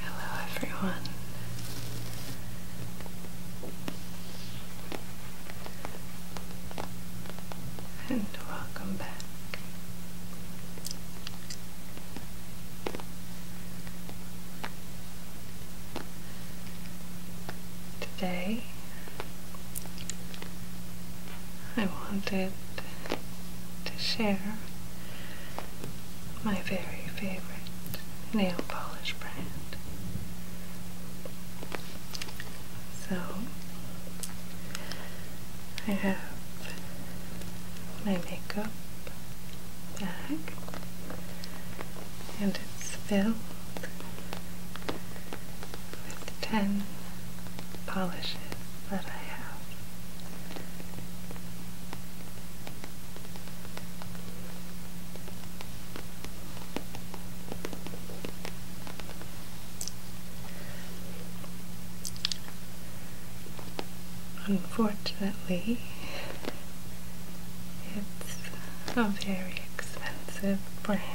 Hello, everyone. And welcome back. Today I wanted to share my very favorite nail polish brand. So I have my makeup bag and it's filled with ten polishes that I have. Unfortunately, it's a very expensive brand.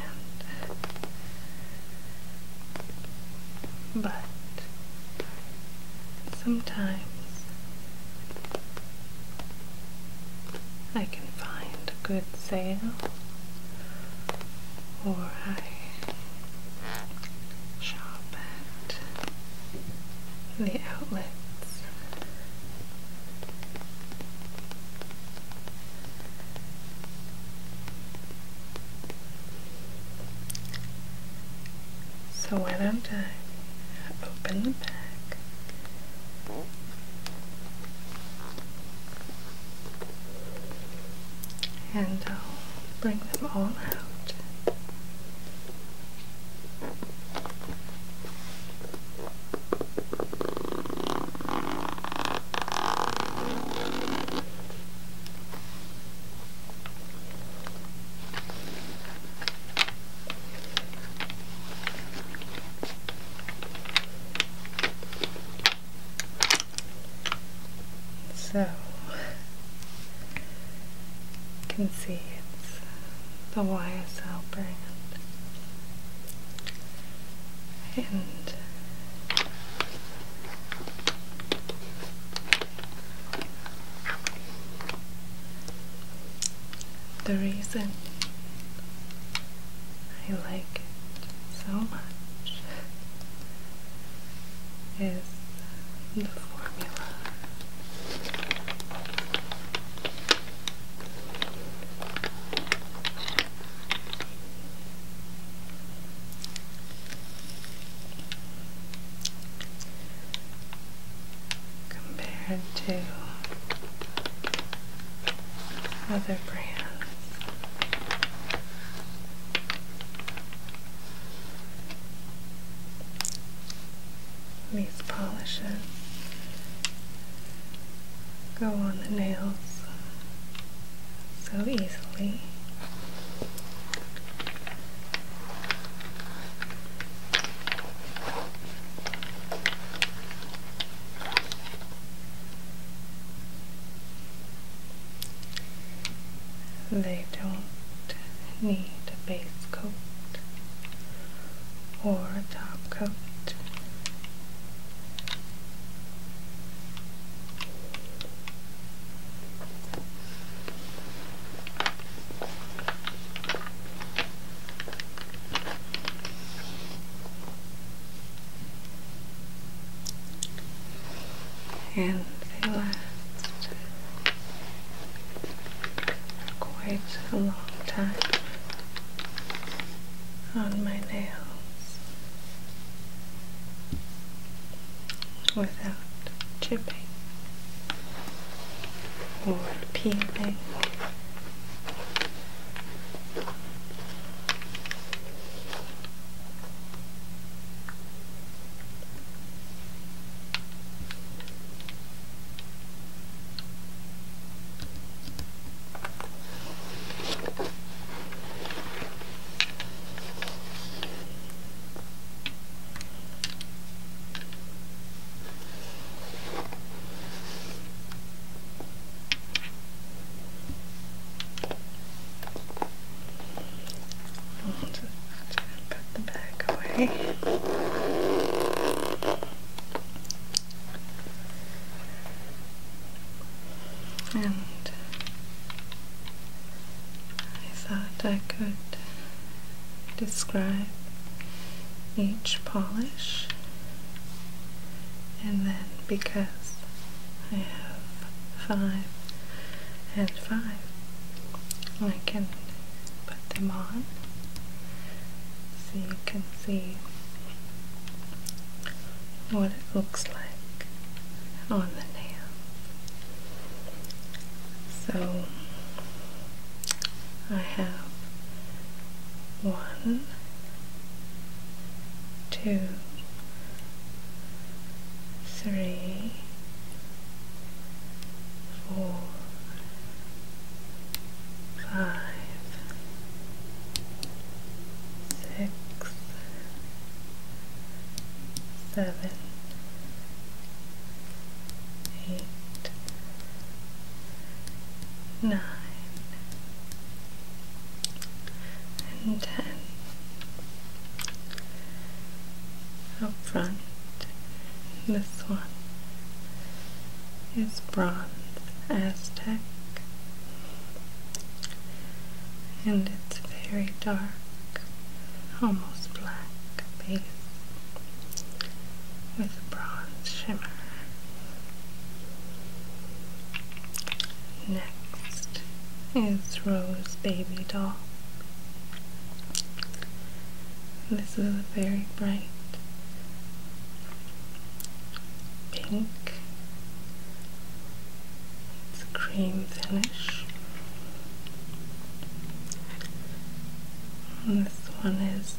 But sometimes I can find a good sale or I shop at the outlets so I'm gonna open the bag And I'll bring them all out. So, you can see it's the YSL brand and the reason I like it so much is the formula compared to other brands. These polishes go on the nails so easily. They don't need a base coat or a top coat and they last quite a long time on my nails without chipping or peeling. Put the bag away and I thought I could describe each polish and then because I have five and five I can put them on so you can see what it looks like on the nail. So I have one, two, three, four, five, six, seven, eight, nine, and ten. Up front, this one is bronze. Aztec, and it's very dark, almost black base with a bronze shimmer. Next is Rose Baby Doll. This is a very bright pink it's cream finish. this one is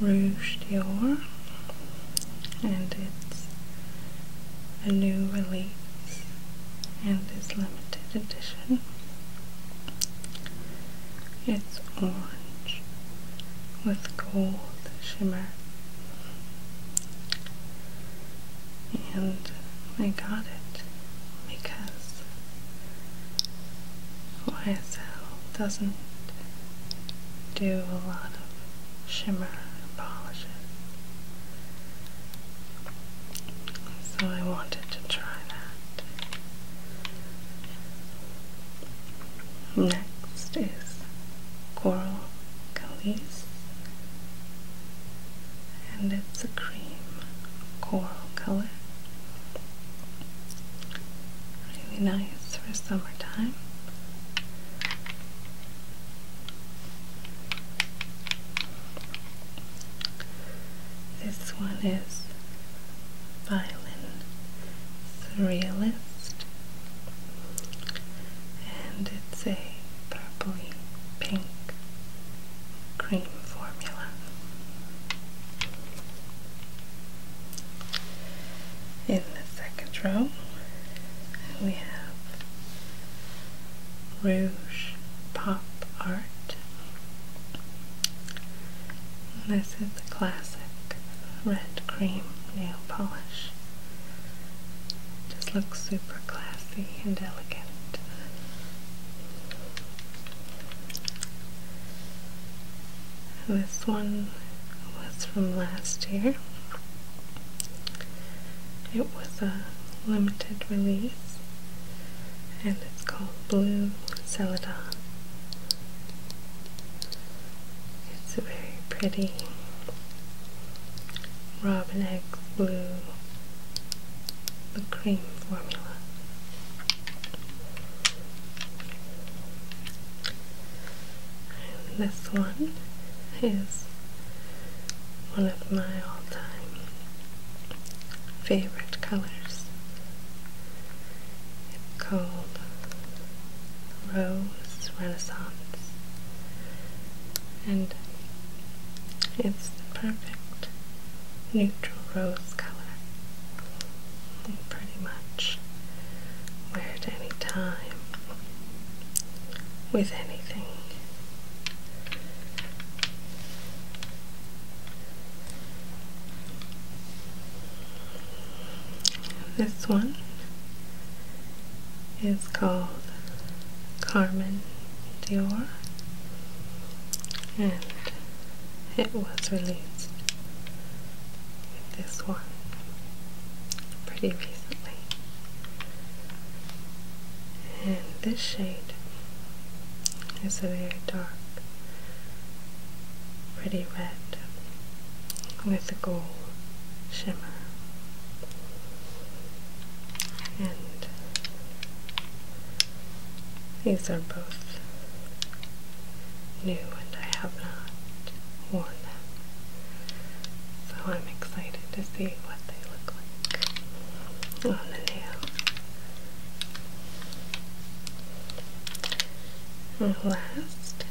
Rouge Dior, and it's a new release and it's limited edition. It's orange with gold shimmer. And I got it because YSL doesn't do a lot of shimmer and polishes. So I wanted to try that. Next is Coral Calice, and it's a cream coral color. Really nice for summertime. This one is Violin Surrealist and it's a purpley pink cream formula. In the second row, we have Rouge Pop Art. This is the classic red cream nail polish just looks super classy and elegant. this one was from last year. It was a limited release and it's called Blue Celadon. It's a very pretty robin egg blue the cream formula. this one is one of my all-time favorite colors. It's called Rose Renaissance. And it's the perfect neutral rose color. pretty much wear at any time with anything. This one is called Carmen Dior and it was released with this one pretty recently. And this shade is a very dark, pretty red with gold shimmer and these are both new and I have not worn them so I'm excited to see what they look like on the nail last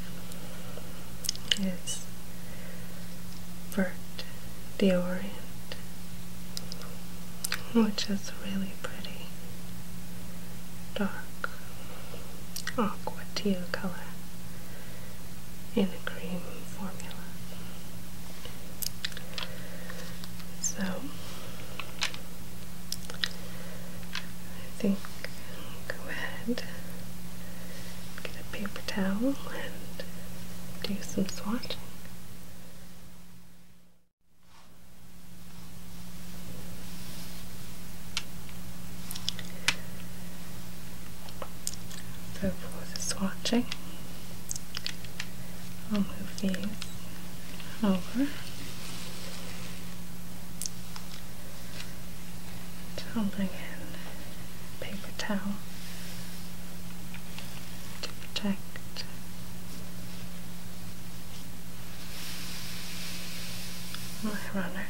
is Bert the Orient, which is really pretty dark aqua teal color in a cream formula. So I think go ahead Get a paper towel and do some swatching. So for the swatching, I'll move these over tumbling in paper towel to protect my runner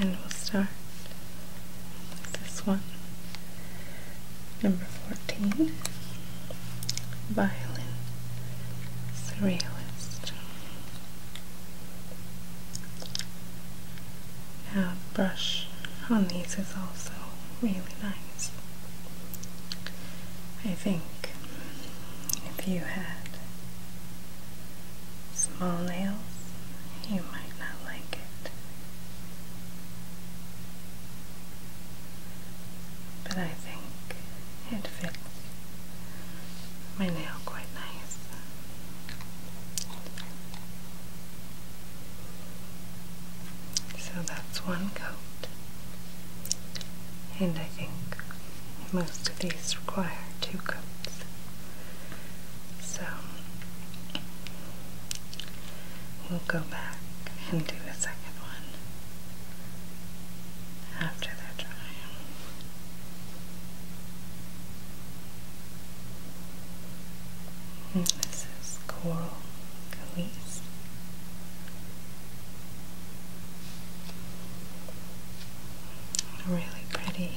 and we'll start with this one number 14 violin surrealist uh, brush on these is also really nice. I think if you had small nails, you might not like it. But I think it fits my nail quite nice. So that's one coat. And I think most of these require two coats. So we'll go back and do the second one after they're hmm, this is coral really pretty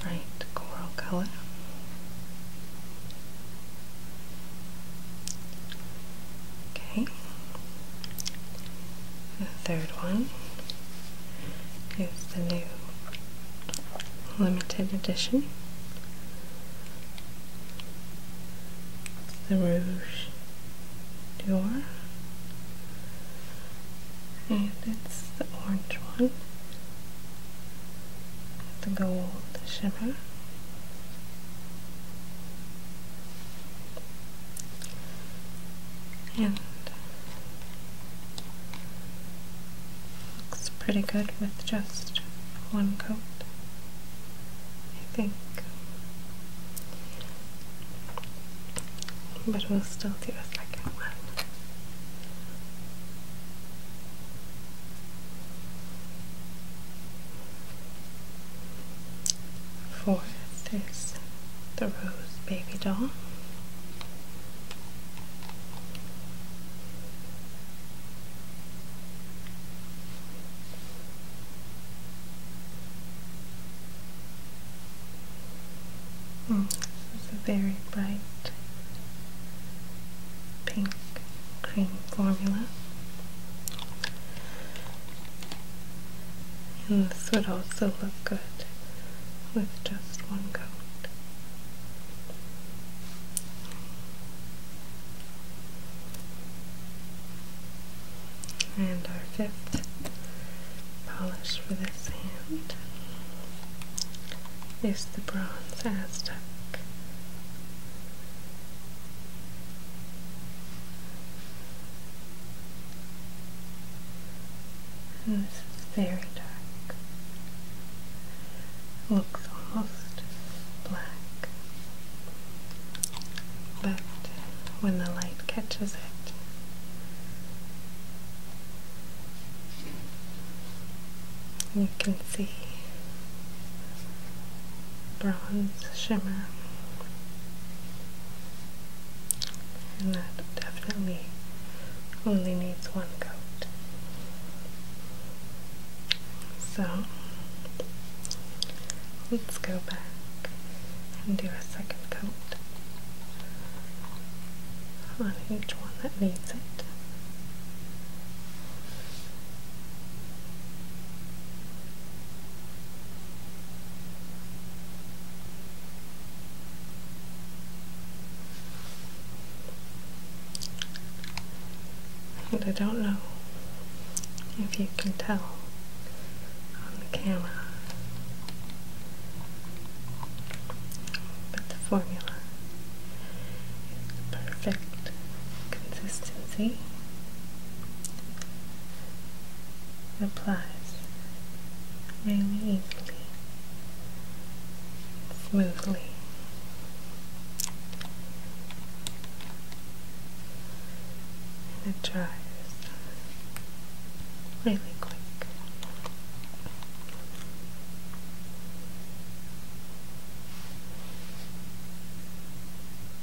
bright coral color. Okay. The third one is the new limited edition. It's the Rouge Dior. And it's the orange one. The gold shimmer and looks pretty good with just one coat, I think. But we'll still do a second one. Fourth is the Rose Baby Doll. Mm, this is a very bright pink cream formula and this would also look good with just one coat. And our fifth polish for this hand is the Bronze Aztec and this is very dark. Looks almost black, but when the light catches it, you can see bronze shimmer and that definitely only needs one coat. So let's go back and do a second coat on each one that needs it. And I don't know if you can tell on the camera, but the formula is the perfect consistency applies really easily, smoothly. And it dries really quick.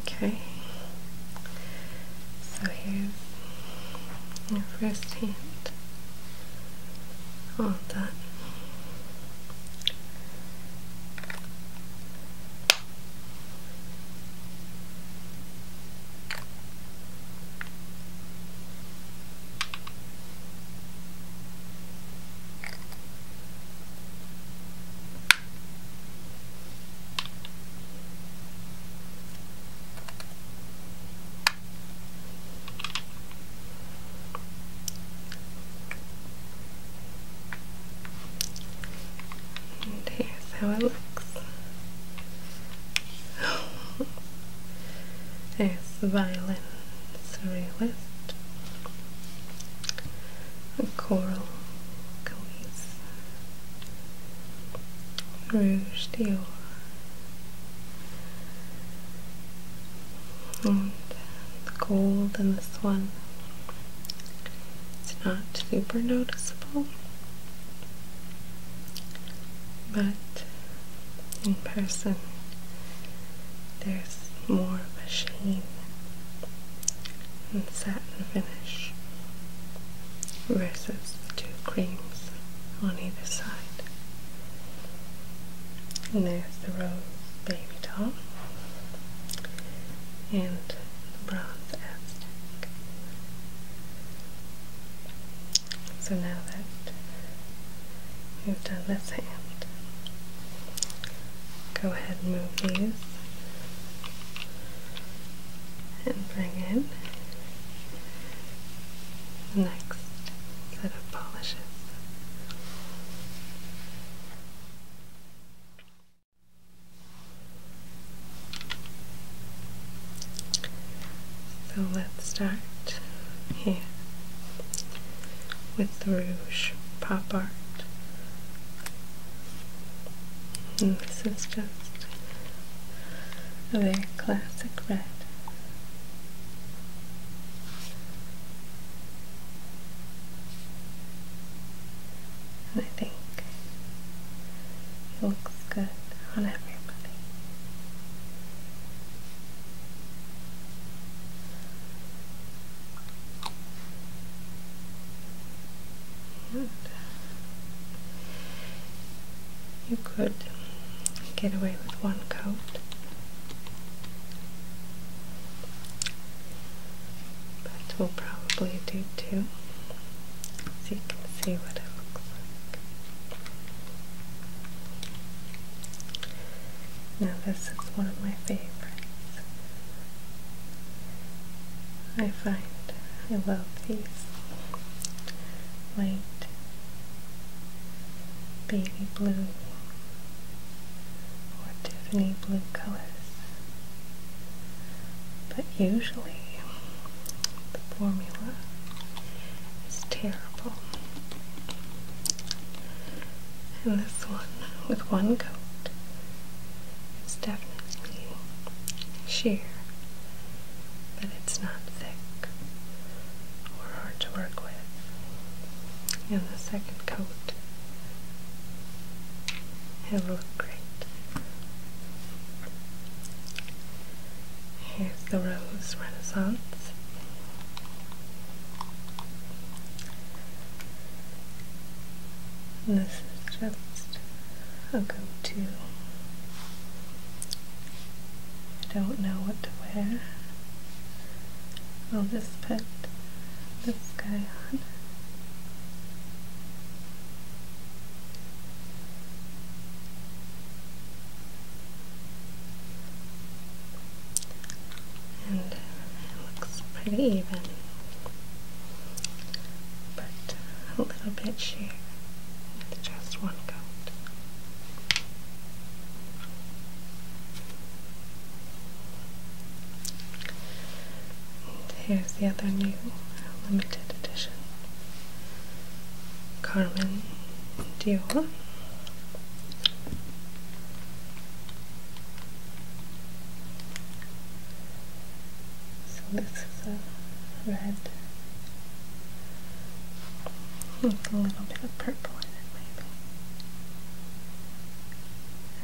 Okay, so here's your first hand, hold that. And here's how it looks. There's the violin surrealist a coral Coise Rouge Dior gold and this one it's not super noticeable but in person there's more of a sheen and set matte finish versus the two creams on either side. And there's the rose baby doll and the bronze Aztec. So now that we've done this hand, go ahead and move these and bring in the next set of polishes. So let's start here with Rouge Pop Art Mm, this is just a very classic red. And I think it looks good on everybody you could get away with one coat, but we'll probably do two so you can see what it looks like. Now, this is one of my favorites. I find I love these white, baby blue, or Tiffany blue colors. But usually the formula is terrible and this one with one coat is definitely sheer, but it's not thick or hard to work with. And the second coat, it'll great. Here's the Rose Renaissance. And this is just a go-to. I don't know what to wear. I'll just put this guy on. and it looks pretty even but a little bit sheer with just one coat. here's the other new limited edition Carmen Dior. So this is a red with a little bit of purple in it maybe.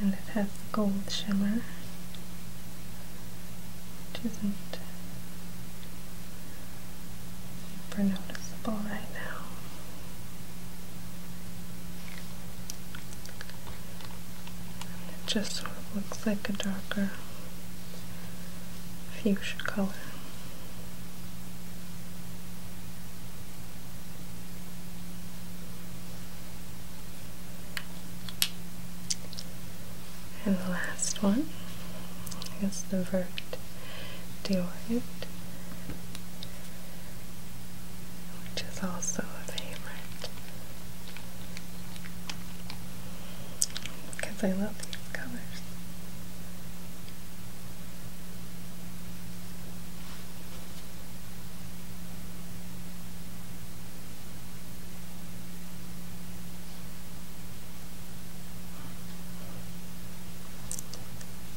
And it has the gold shimmer, which isn't super noticeable right now. It just sort of looks like a darker fuchsia color. And the last one is the Vert Deorit which is also a favorite. Because I love these colors.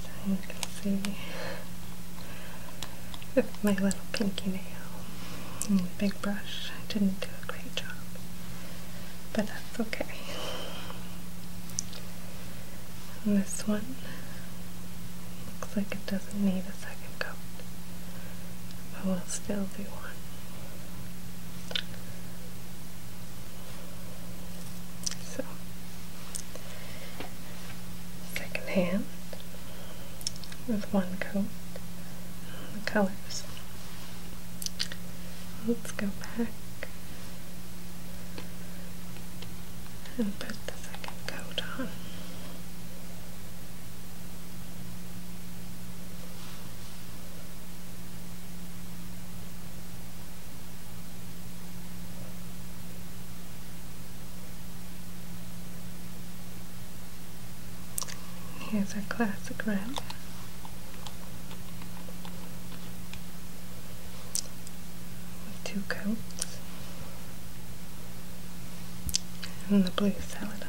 So you can see with my little pinky nail and the big brush. I didn't do a great job, but that's okay. this one looks like it doesn't need a second coat, but we'll still do one. So, second hand with one coat on the colors. Let's go back and put the second coat on. Here's our classic red. With two coats. And the blue salad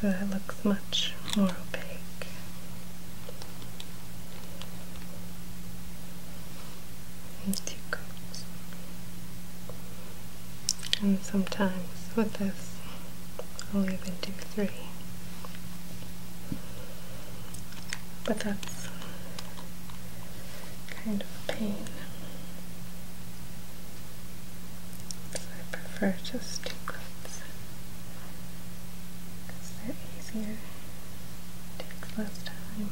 so that looks much more opaque. And two coats and sometimes with this I'll even do three. But that's kind of a pain. So I prefer just two clips because they're easier, takes less time.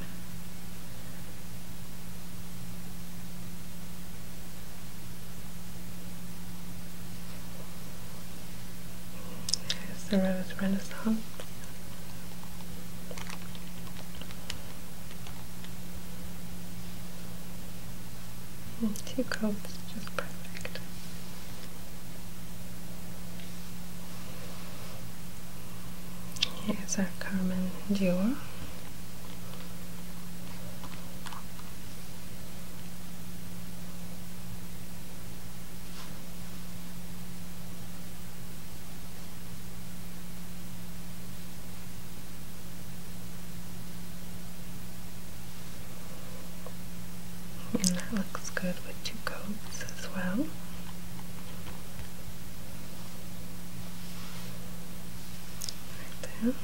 There's the Rose Renaissance. Hmm, two coats, just perfect. Here's our Carmen Dior. And that looks good with two coats as well and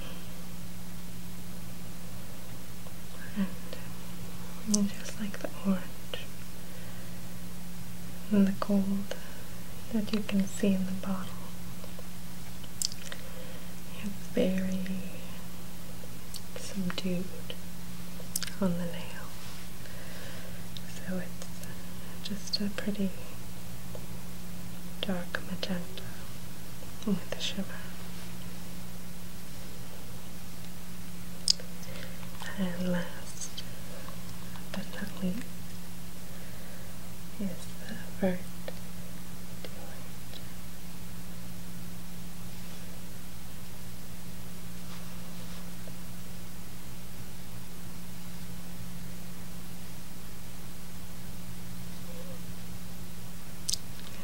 um, just like the orange and the gold that you can see in the bottle. It's very subdued on the nail, so it's uh, just a pretty dark magenta with the shimmer. And last but not least is the vert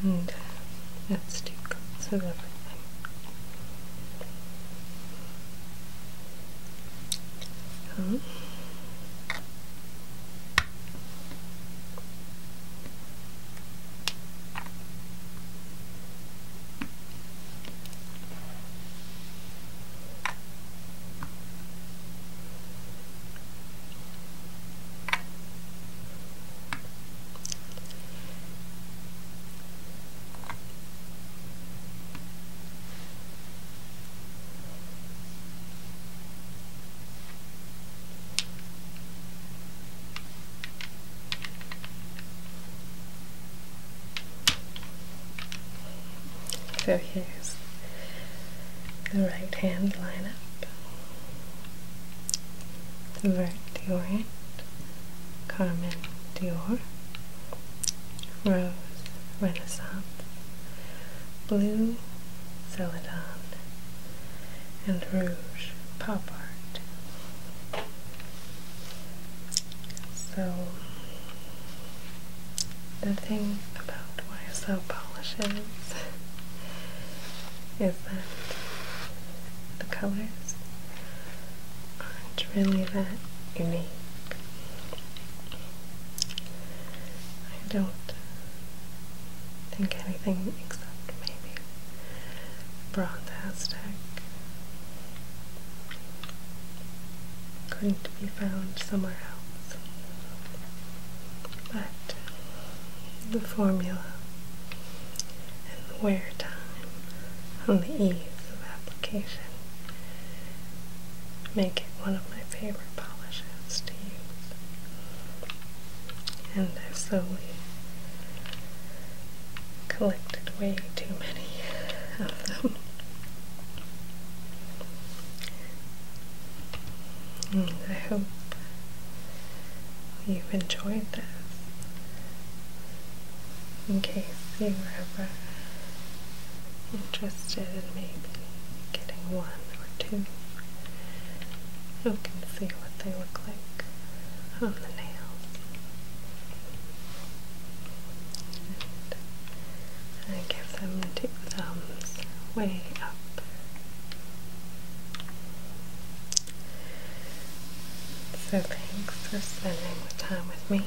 and uh, that's two coats of everything. Um, oh. Fair hairs the right hand line up, Vert Diorant, Carmen Dior, Rose Renaissance, Blue Celadon, and Rouge Pop Art. So the thing about YSL polishes is that the colors aren't really that unique. I don't think anything except maybe bronze Aztec couldn't be found somewhere else but the formula and the wear time and the ease of application make it one of my favorite polishes to use. And I've slowly collected way too many of them. Hmm, I hope you've enjoyed this. In case you were ever interested in maybe getting one or two, you can see what they look like on the nails and give them the two thumbs way up. So thanks for spending the time with me.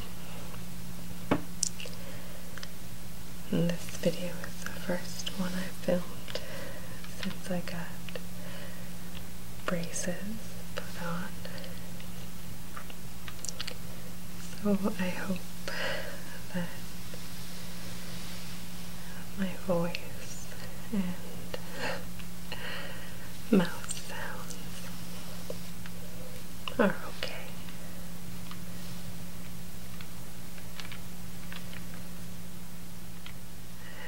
this video is the first one I filmed since I got braces put on. So I hope a my voice and mouth sounds are okay.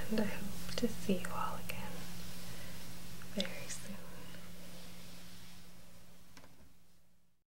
And I hope to see you all again very soon.